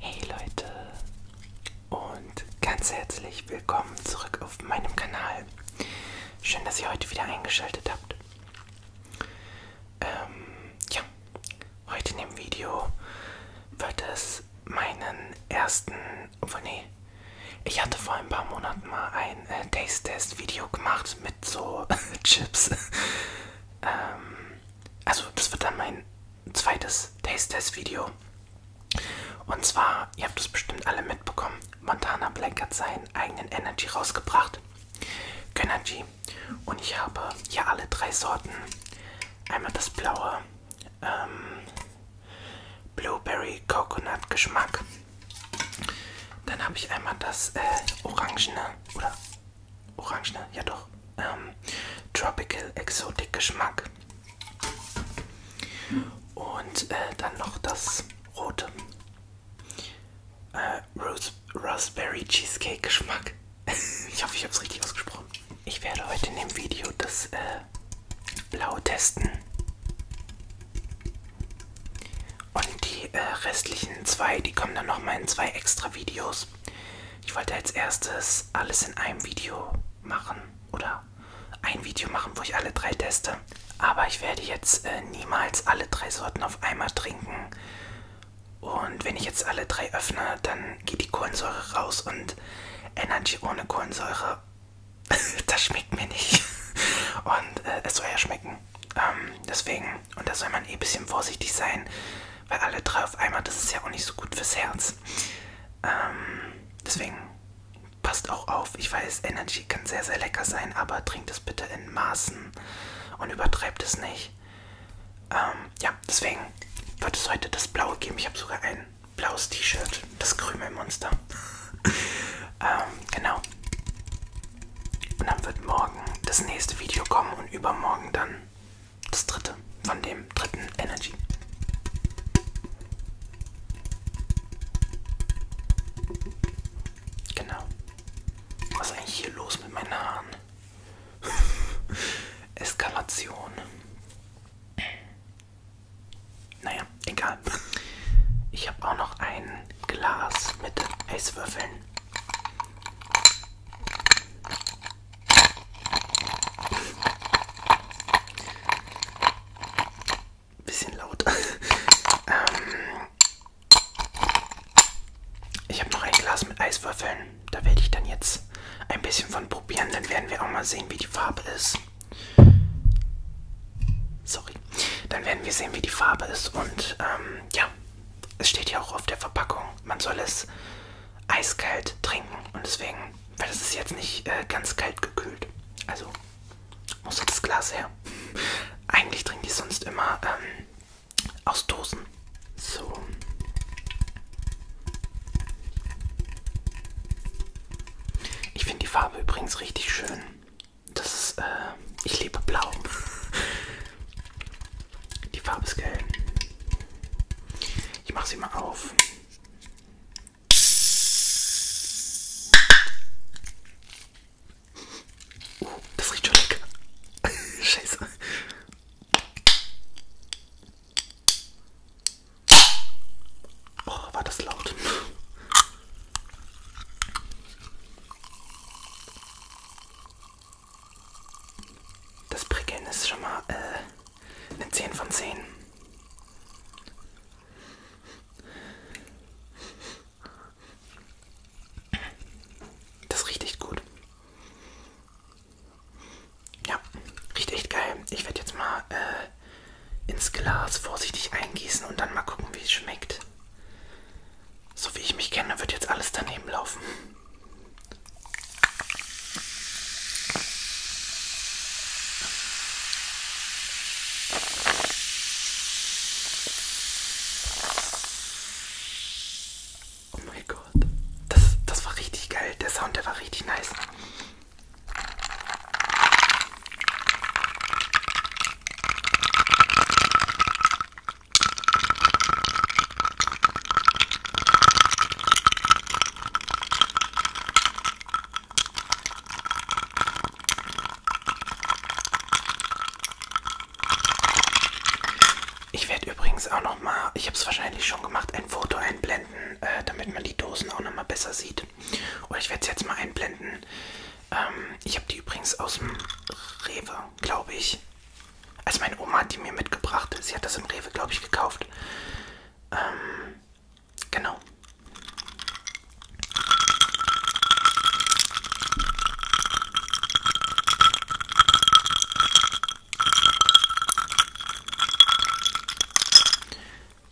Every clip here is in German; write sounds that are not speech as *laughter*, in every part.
Hey Leute und ganz herzlich willkommen zurück auf meinem Kanal. Schön, dass ihr heute wieder eingeschaltet habt. Ähm, ja, heute in dem Video wird es meinen ersten, obwohl nee, ich hatte vor ein paar Monaten mal ein äh, Taste-Test-Video gemacht mit so *laughs* Chips. ähm, also das wird dann mein zweites Taste-Test-Video. Und zwar, ihr habt es bestimmt alle mitbekommen, Montana Black hat seinen eigenen Energy rausgebracht. Energy. Und ich habe hier alle drei Sorten. Einmal das blaue ähm, Blueberry Coconut Geschmack. Dann habe ich einmal das äh, orangene oder Orange, ne? Ja doch. Ähm, Tropical Exotic Geschmack. Und äh, dann noch das rote. Äh, Rose Raspberry Cheesecake Geschmack. *laughs* ich hoffe, ich habe es richtig ausgesprochen. Ich werde heute in dem Video das äh, Blau testen. Und die äh, restlichen zwei, die kommen dann nochmal in zwei extra Videos. Ich wollte als erstes alles in einem Video machen oder ein Video machen, wo ich alle drei teste. Aber ich werde jetzt äh, niemals alle drei Sorten auf einmal trinken. Und wenn ich jetzt alle drei öffne, dann geht die Kohlensäure raus und Energy ohne Kohlensäure, *laughs* das schmeckt mir nicht. *laughs* Und äh, es soll ja schmecken. Ähm, deswegen, und da soll man eh ein bisschen vorsichtig sein, weil alle drei auf einmal, das ist ja auch nicht so gut fürs Herz. Ähm, deswegen passt auch auf. Ich weiß, Energy kann sehr, sehr lecker sein, aber trinkt es bitte in Maßen und übertreibt es nicht. Ähm, ja, deswegen wird es heute das Blaue geben. Ich habe sogar ein blaues T-Shirt, das Krümelmonster. *laughs* ähm, genau. Und dann wird morgen das nächste Video kommen und übermorgen dann das dritte von dem dritten Energy. Genau. Was ist eigentlich hier los mit meinen Haaren? *laughs* Eskalation. Naja. Naja, egal. Ich habe auch noch ein Glas mit Eiswürfeln. Bisschen laut. *laughs* ähm, ich habe noch ein Glas mit Eiswürfeln. Da werde ich dann jetzt ein bisschen von probieren. Dann werden wir auch mal sehen, wie die Farbe ist. Sorry. Dann werden wir sehen, wie die Farbe ist. Und ähm, ja, es steht ja auch auf der Verpackung, man soll es eiskalt trinken. Und deswegen, weil es ist jetzt nicht äh, ganz kalt gekühlt. Also muss das Glas her. *laughs* Eigentlich trinke ich sonst immer ähm, aus Dosen. So. Ich finde die Farbe übrigens richtig schön. Das ist, äh, ich liebe blau. Die Farbe ist gelb. Ich mache sie mal auf. Uh, das riecht schon lecker. *laughs* Scheiße. Oh, war das laut. Das Prickeln ist schon mal äh, eine 10 von 10. Das riecht echt gut. Ja, riecht echt geil. Ich werde jetzt mal äh, ins Glas vorsichtig eingießen und dann mal gucken, wie es schmeckt. So wie ich mich kenne, wird jetzt alles daneben laufen. Oh mein Gott. Das, das war richtig geil. Der Sound, der war richtig nice. Ich werde übrigens auch noch mal, ich habe es wahrscheinlich schon gemacht, ein Foto einblenden einblenden, äh, damit man die Dosen auch nochmal besser sieht. Oder ich werde es jetzt mal einblenden. Ähm, ich habe die übrigens aus dem Rewe, glaube ich. Also meine Oma hat die mir mitgebracht. Sie hat das im Rewe, glaube ich, gekauft. Ähm, genau.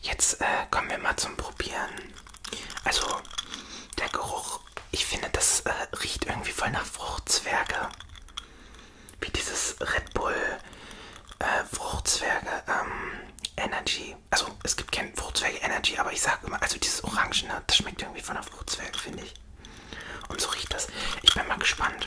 Jetzt äh, kommen wir mal zum Probieren. Also der Geruch, ich finde, das äh, riecht irgendwie voll nach Fruchtzwerge. Wie dieses Red Bull äh, Fruchtzwerge ähm, Energy. Also es gibt kein Fruchtzwerge Energy, aber ich sage immer, also dieses Orangene, das schmeckt irgendwie von einer Fruchtzwerge, finde ich. Und so riecht das. Ich bin mal gespannt.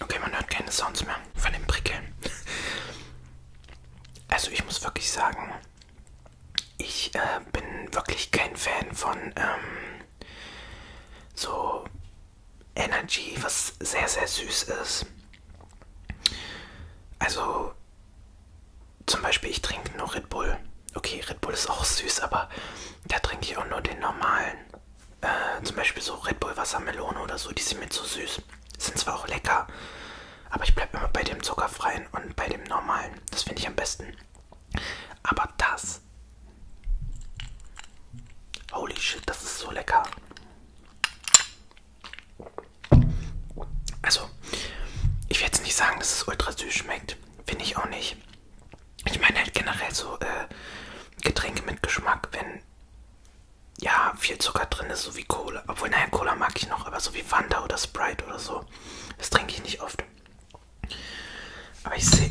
Okay, man hört keine Sounds mehr von dem Prickeln. Also ich muss wirklich sagen, ich äh, bin wirklich kein Fan von ähm, so Energy, was sehr, sehr süß ist. Also zum Beispiel, ich trinke nur Red Bull. Okay, Red Bull ist auch süß, aber da trinke ich auch nur den normalen. Äh, zum Beispiel so Red Bull Wassermelone oder so, die sind mir zu süß. Sind zwar auch lecker, aber ich bleibe immer bei dem zuckerfreien und bei dem normalen. Das finde ich am besten. Aber das. Holy shit, das ist so lecker. Also, ich will jetzt nicht sagen, dass es ultra süß schmeckt. Finde ich auch nicht. Ich meine halt generell so äh, Getränke mit Geschmack, wenn ja viel Zucker drin ist, so wie Cola. Obwohl, naja, Cola mag ich noch, aber so wie Fanta oder Sprite oder so. Das trinke ich nicht oft. Aber ich sehe,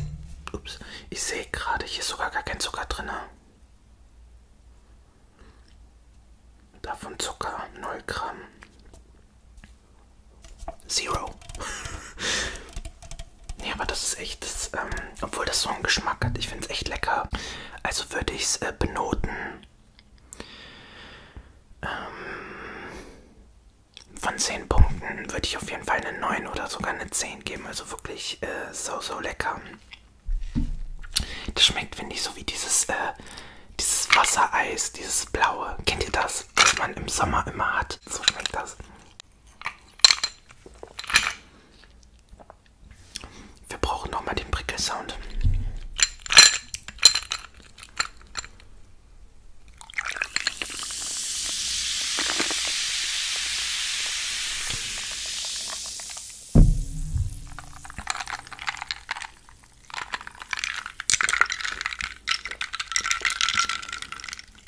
ups, ich sehe gerade, hier ist sogar gar kein Zucker drin. Davon Zucker 0 Gramm. Zero. nee, *laughs* aber das ist echt, das, ähm, obwohl das so einen Geschmack hat, ich finde es echt lecker. Also würde ich es äh, benoten ähm, von 10 Punkten würde ich auf jeden Fall eine 9 oder sogar eine 10 geben. Also wirklich äh, so, so lecker. Das schmeckt, finde ich, so wie dieses äh, dieses Wassereis, dieses blaue. Kennt ihr das? Was man im Sommer immer hat. So schmeckt das. Wir brauchen nochmal den Prickelsound.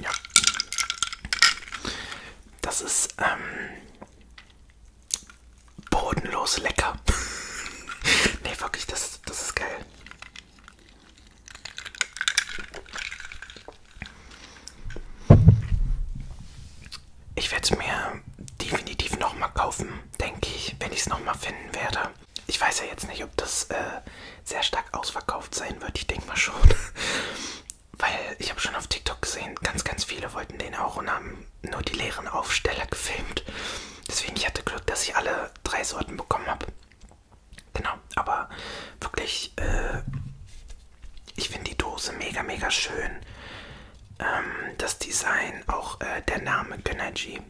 Ja. Das ist ähm, bodenlos lecker. *laughs* nee, wirklich, das, das ist geil. Ich werde es mir definitiv nochmal kaufen denke ich, wenn ich es nochmal finden werde. Ich weiß ja jetzt nicht, ob das äh, sehr stark ausverkauft sein wird. Ich denke mal schon. *laughs* Weil ich habe schon auf TikTok gesehen, ganz, ganz viele wollten den auch und haben nur die leeren Aufsteller gefilmt. Deswegen, ich hatte Glück, dass ich alle drei Sorten bekommen habe. Genau, aber wirklich, äh, ich finde die Dose mega, mega schön ähm, das Design, auch äh, der Name Gönnergy.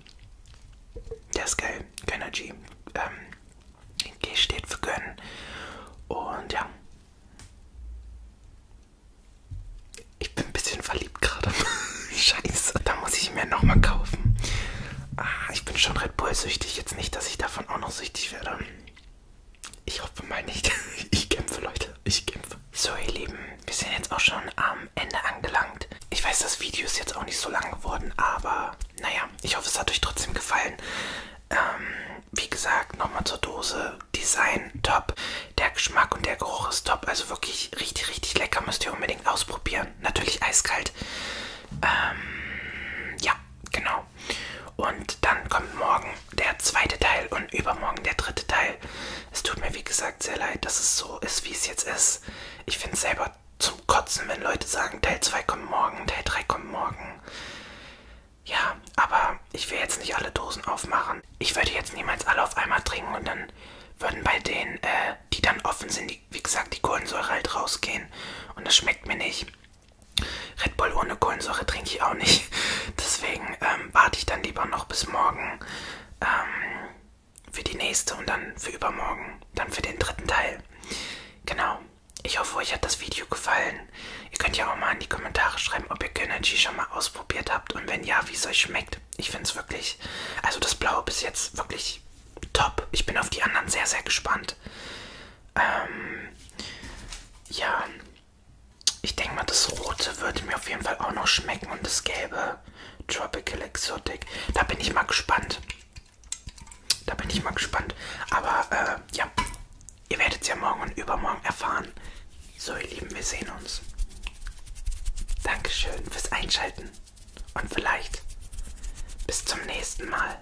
Der ist geil, Gönnergy. Ähm, G steht für Gönnen. Und ja. Ich bin ein bisschen verliebt gerade. *laughs* Scheiße, da muss ich mir nochmal kaufen. Ah, ich bin schon Red Bull süchtig. Jetzt nicht, dass ich davon auch noch süchtig werde. Ich hoffe mal nicht. *laughs* Ich kämpfe, Leute. Ich kämpfe. So ihr Lieben, wir sind jetzt auch schon am Ende angelangt. Ich weiß, das Video ist jetzt auch nicht so lang geworden, aber naja, ich hoffe, es hat euch trotzdem gefallen. Ähm, wie gesagt, nochmal zur Dose. Design top. Der Geschmack und der Geruch ist top. Also wirklich richtig, richtig lecker. Müsst ihr unbedingt ausprobieren. Natürlich eiskalt. Ähm, ja, genau. Und dann kommt morgen der zweite Teil und übermorgen der dritte Teil. Es tut mir wie gesagt sehr leid, dass es so ist, wie es jetzt ist. Ich finde es selber zum Kotzen, wenn Leute sagen, Teil 2 kommt morgen, Teil 3 kommt morgen. Ja, aber ich will jetzt nicht alle Dosen aufmachen. Ich würde jetzt niemals alle auf einmal trinken und dann würden bei denen, äh, die dann offen sind, die, wie gesagt, die Kohlensäure halt rausgehen. Und das schmeckt mir nicht. Red Bull ohne Kohlensäure trinke ich auch nicht. Deswegen ähm, warte ich dann lieber noch bis morgen ähm, für die nächste und dann für übermorgen, dann für den dritten Teil. Genau. Ich hoffe, euch hat das Video gefallen. Ihr könnt ja auch mal in die Kommentare schreiben, ob ihr Kynergy schon mal ausprobiert habt und wenn ja, wie es euch schmeckt. Ich finde es wirklich, also das Blaue bis jetzt wirklich top. Ich bin auf die anderen sehr, sehr gespannt. Ähm, ja, ich denke mal, das Rote würde mir auf jeden Fall auch noch schmecken und das Gelbe Tropical Exotic. Da bin ich mal gespannt. Da bin ich mal gespannt. Aber äh, ja, ihr werdet es ja morgen und übermorgen erfahren. So, ihr Lieben, wir sehen uns. Dankeschön fürs Einschalten. Und vielleicht bis zum nächsten Mal.